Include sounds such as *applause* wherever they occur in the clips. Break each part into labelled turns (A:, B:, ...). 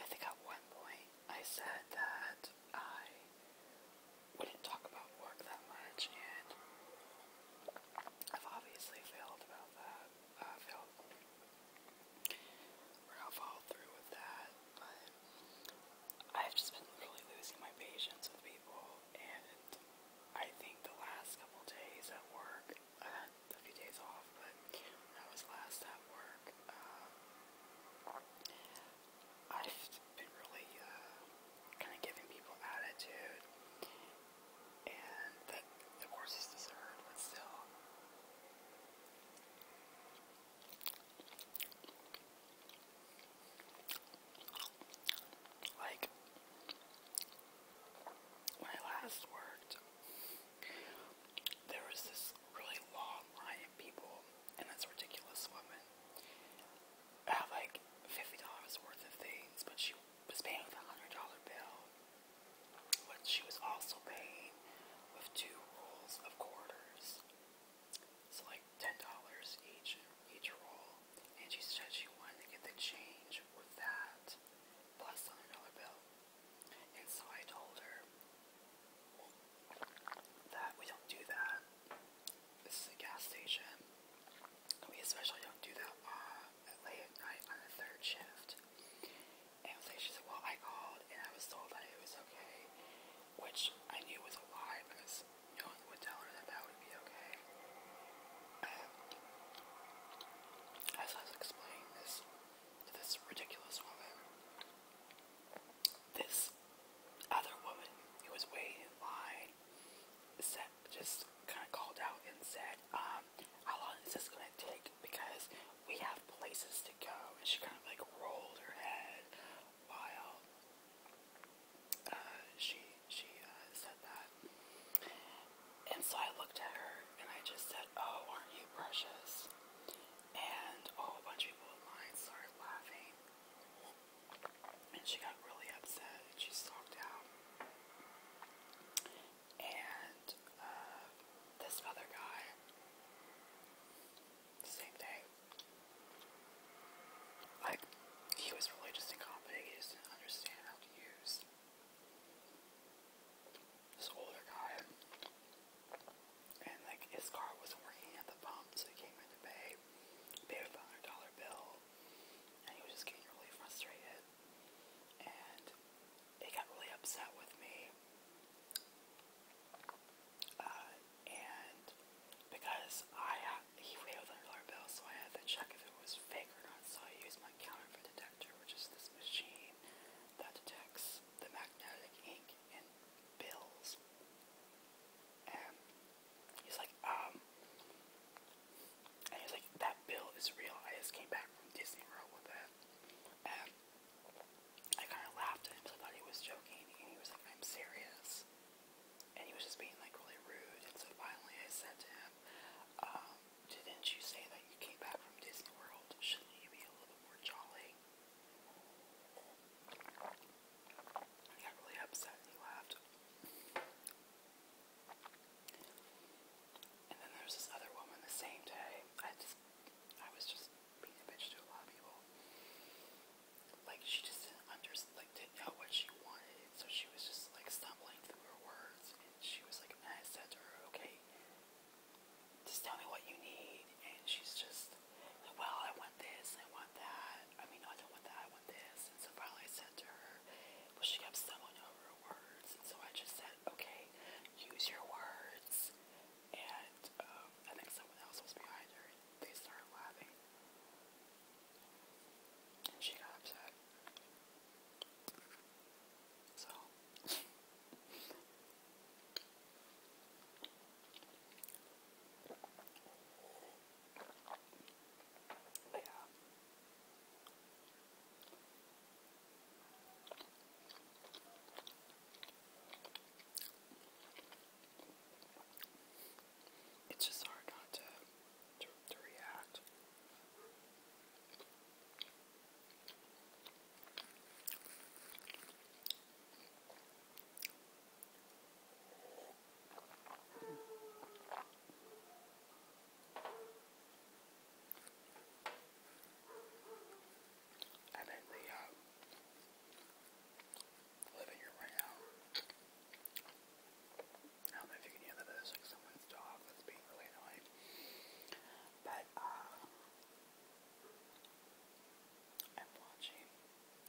A: I think at one point I said that I wouldn't talk about work that much, and I've obviously failed about that. Uh, failed. We're gonna through with that, but I've just been really losing my patience with people, and I think the last couple days at work I had a few days off, but when I was last at work, um, I've been really uh, kind of giving people attitude, and that the course is deserved, but still. Like, when I last worked, there was this really long line of people, and this ridiculous woman had like $50 worth of things, but she was paying with a $100 bill. But she was also paying with two rolls of quarters. So like $10 each, each roll. And she said she wanted to get the change with that, plus $100 bill. And so I told her that we don't do that. This is a gas station. We especially don't do that uh, late at night on the third shift. And so she said, well, I called and I was told that it was okay, which I knew was a lie because no one would tell her that that would be okay. Um, as I was explaining this this ridiculous woman. This other woman who was waiting in line said, just kind of called out and said, um, how long is this going to take? Because we have places to go. And she kind of like rolled her head while uh, she she uh, said that. And so I looked at her and I just said, Oh, aren't you precious? And a bunch of people online started laughing. And she got really upset and she stalked out. And uh, this other guy, same day, like, he was really just incompetent. He just not understand how to use this older guy, and like his car wasn't working at the pump, so he came in to pay, paid a five hundred dollar bill, and he was just getting really frustrated, and he got really upset with me. Uh, and because I had, he paid a hundred dollar bill, so I had to check if it was fake or not. So I used my counterfeit detector, which is this machine membrane that detects the magnetic ink in pills. And he's like, um, and he's like, that bill is real. I just came back from Disney World with it. And I kind of laughed at him because I thought he was joking. And he was like, I'm serious. And he was just being like really rude. And so finally I said to him, um, didn't you say that you came back from Disney World? Shouldn't you be a little bit more jolly? I got really upset and he laughed. And then there's this other woman the same day. I just, I was just being a bitch to a lot of people. Like she just didn't understand, like didn't know what she wanted, so she was just like stumbling through her words. And she was like, and I said to her, "Okay, like, just tell me what you need. And she's just like, well, I want this, I want that. I mean, no, I don't want that, I want this. And so finally I said to her, well, she kept stumbling over her words. And so I just said, okay, use your words. And um, I think someone else was behind her. And they started laughing. And she got upset. So but It's just hard to to, to react. I'm in the uh, living room right now. I don't know if you can hear that. There's like someone's dog that's being really annoying. But uh, I'm watching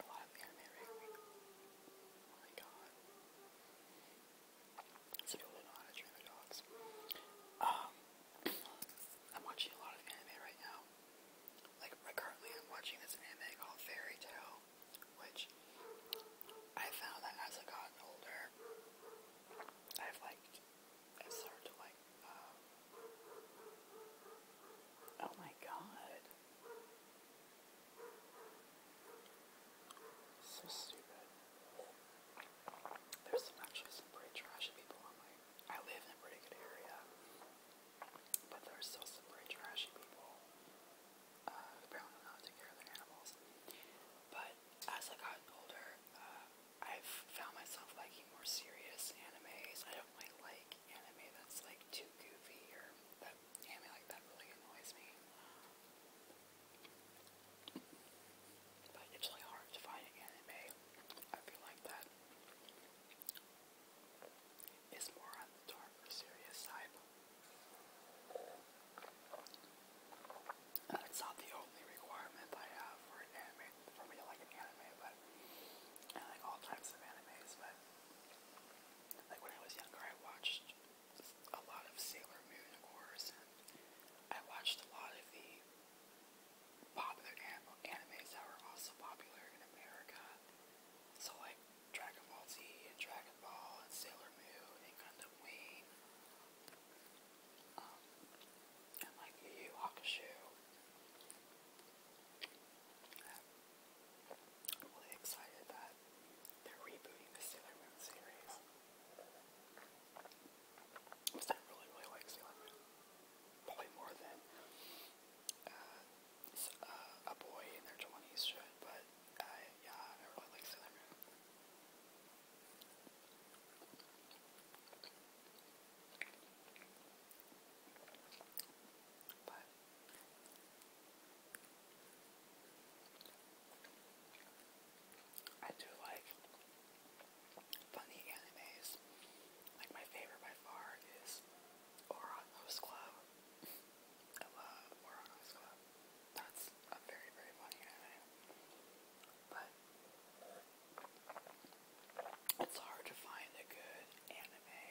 A: a lot of anime Oh my god. So people don't know how to train Um, I'm watching a lot of anime right now. Like, currently I'm watching this anime called Fairy Tale, which I found that as I got older, I've like, i started to like, uh, oh my god. So stupid. There's actually some pretty trashy people on my, I live in a pretty good area, but there's still some pretty trashy people apparently know to care their animals. But as I got older, uh, I've found myself liking more serious animes. I don't like anime that's like too goofy or that anime like that really annoys me. But it's really hard to find an anime. I feel like that is more on the dark serious side. That's uh, not the only requirement I have for an anime, for me to like an anime, but I like all types of animes, but like when I was younger, I watched a lot of Sailor Moon, of course, and I watched a lot of the popular anim that were also popular in America. So like Dragon Ball Z and Dragon Ball and Sailor Moon and Gundam the um, and like Yu Yu I'm really excited that they're rebooting the Sailor Moon series. Because I really, really like Sailor Moon. Probably more than uh, uh, a boy in their 20s should, but I, yeah, I really like Sailor Moon. But I do like funny animes. Like my favorite by far is Oran Host Club. I love Warhawk's Club. That's a very, very funny anime. But it's hard to find a good anime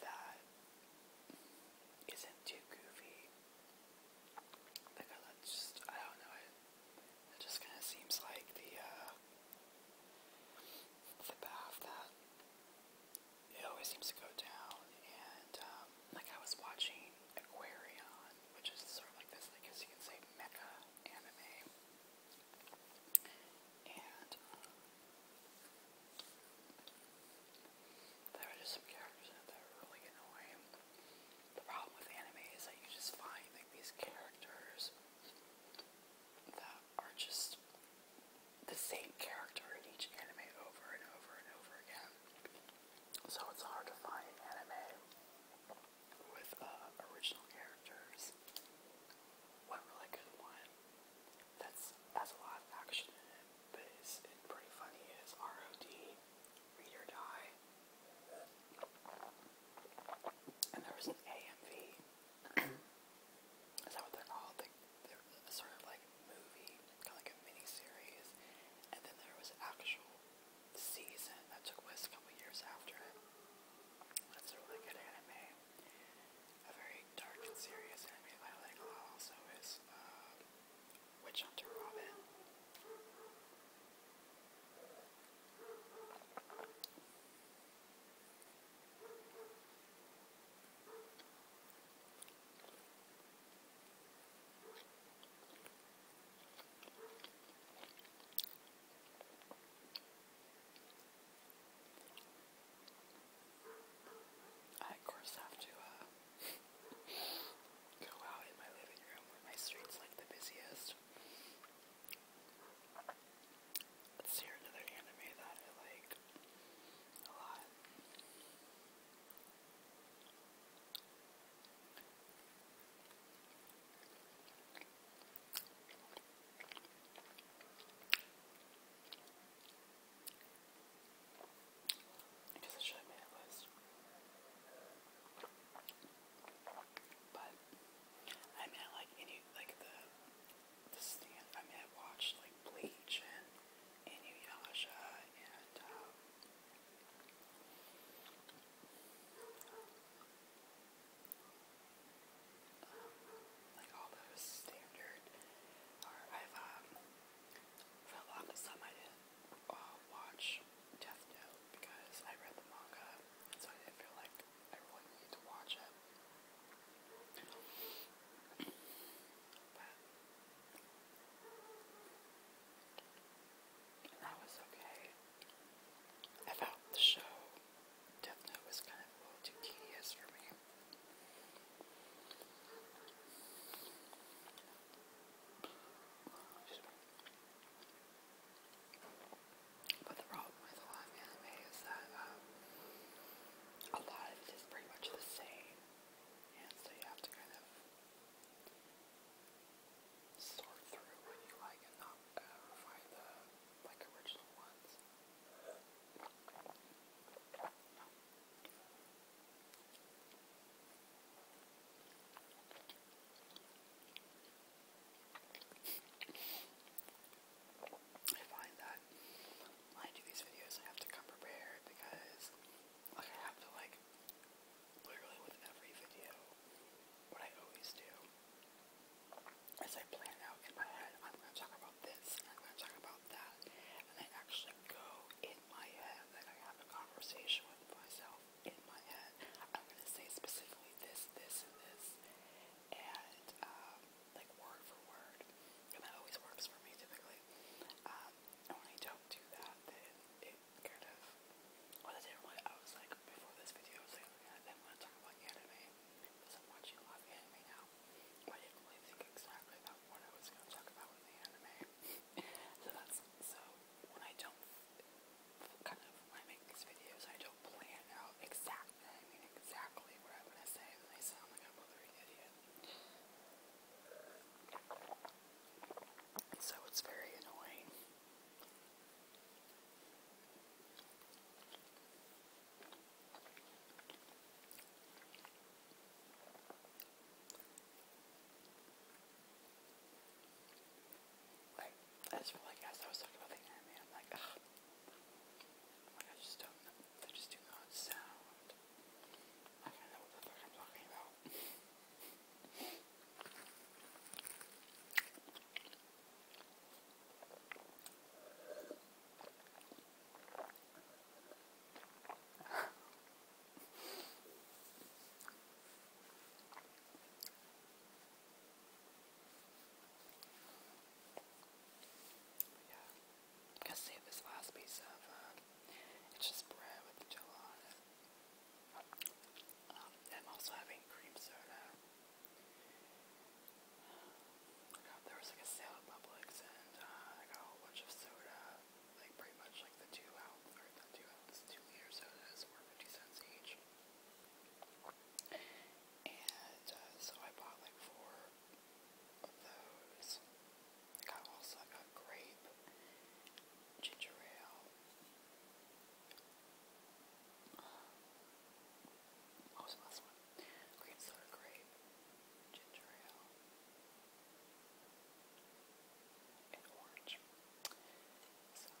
A: that isn't too goofy. Because that's just, I don't know, it, just kind of seems like the, uh, the path that it always seems to go down. And um, like I was watching Aquarion, which is sort of like this, like as you can say, mecha anime. And um, there are just some characters that are really annoying. The problem with anime is that you just find like these characters that are just the same character in each anime over and over and over again. So it's hard to find anime with uh, original characters. One really good one that's has a lot of action in it, but is pretty funny is ROD, Read Die. And there was an AMV. *clears throat* Is that what they're called? there was a sort of like movie, kind of like a mini series, and then there was actual season that took place a couple years after. That's a really good anime, a very dark and serious anime that I like a lot. Also is uh, Witch Hunter Robin. I, of course, have to uh, go out in my living room where my street's like the busiest. Let's hear another anime that I like like a lot. I guess I should have made a list. But I mean I like any like the the I mean, I watched like Bleach and Inuyasha and um, um, like all those standard. I've um, for the longest I didn't watch Death Note because I read the manga, so I didn't feel like I really needed to watch it. But that was okay. I the show, Death was kind of tedious for me. But the problem with a lot of is that um, a lot of it is pretty much the same. And so you have to kind of sort through what you like and not uh, find the like original ones. I find that when I do these videos, I have to come prepared because like, I have to, like, literally with every video, what I always do is I plan out in my head, I'm going to talk about this, I'm going to talk about that, and I actually go in my head, like I have a conversation with myself in my head. I'm going to say specifically this, this, and this, and, um, like word for word, and that always works for me typically. Um, when I don't do that, then it kind of. Well, the I was like, before this video, I was like, I want to talk about anime because I'm watching a lot of anime now. I didn't really think exactly about what I was going to talk about in the anime. *laughs* so that's so when I don't kind of when I make these videos, I don't plan out exactly I mean exactly what I'm gonna say, and they sound like a blithering idiot. So it's very annoying. Like, I just feel like as I was talking about the internet, I'm like, ugh. Like, I just don't know. They just do not sound. I don't know what the fuck I'm talking about. Yeah. I'm gonna save this last piece of, uh, it's just bread with jello on it. Um, I'm also having cream soda. I got, there was like a sale at Publix and uh, I got a whole bunch of soda, like pretty much like the two ounce, or the two ounce, two liter sodas were 50 cents each. And uh, so I bought like four of those. I also got grape, ginger ale, um, what was the last one? Green soda grape, ginger ale, and orange. So, yeah.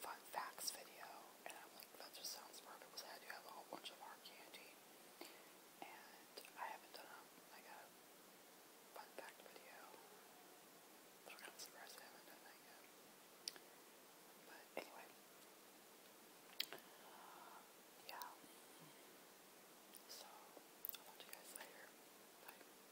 A: fun facts video, and I'm like, that just sounds perfect because I do have a whole bunch of hard candy, and I haven't done um, like a fun fact video. But kind of surprised I haven't done that But anyway, yeah. So I'll talk to you guys later. Bye.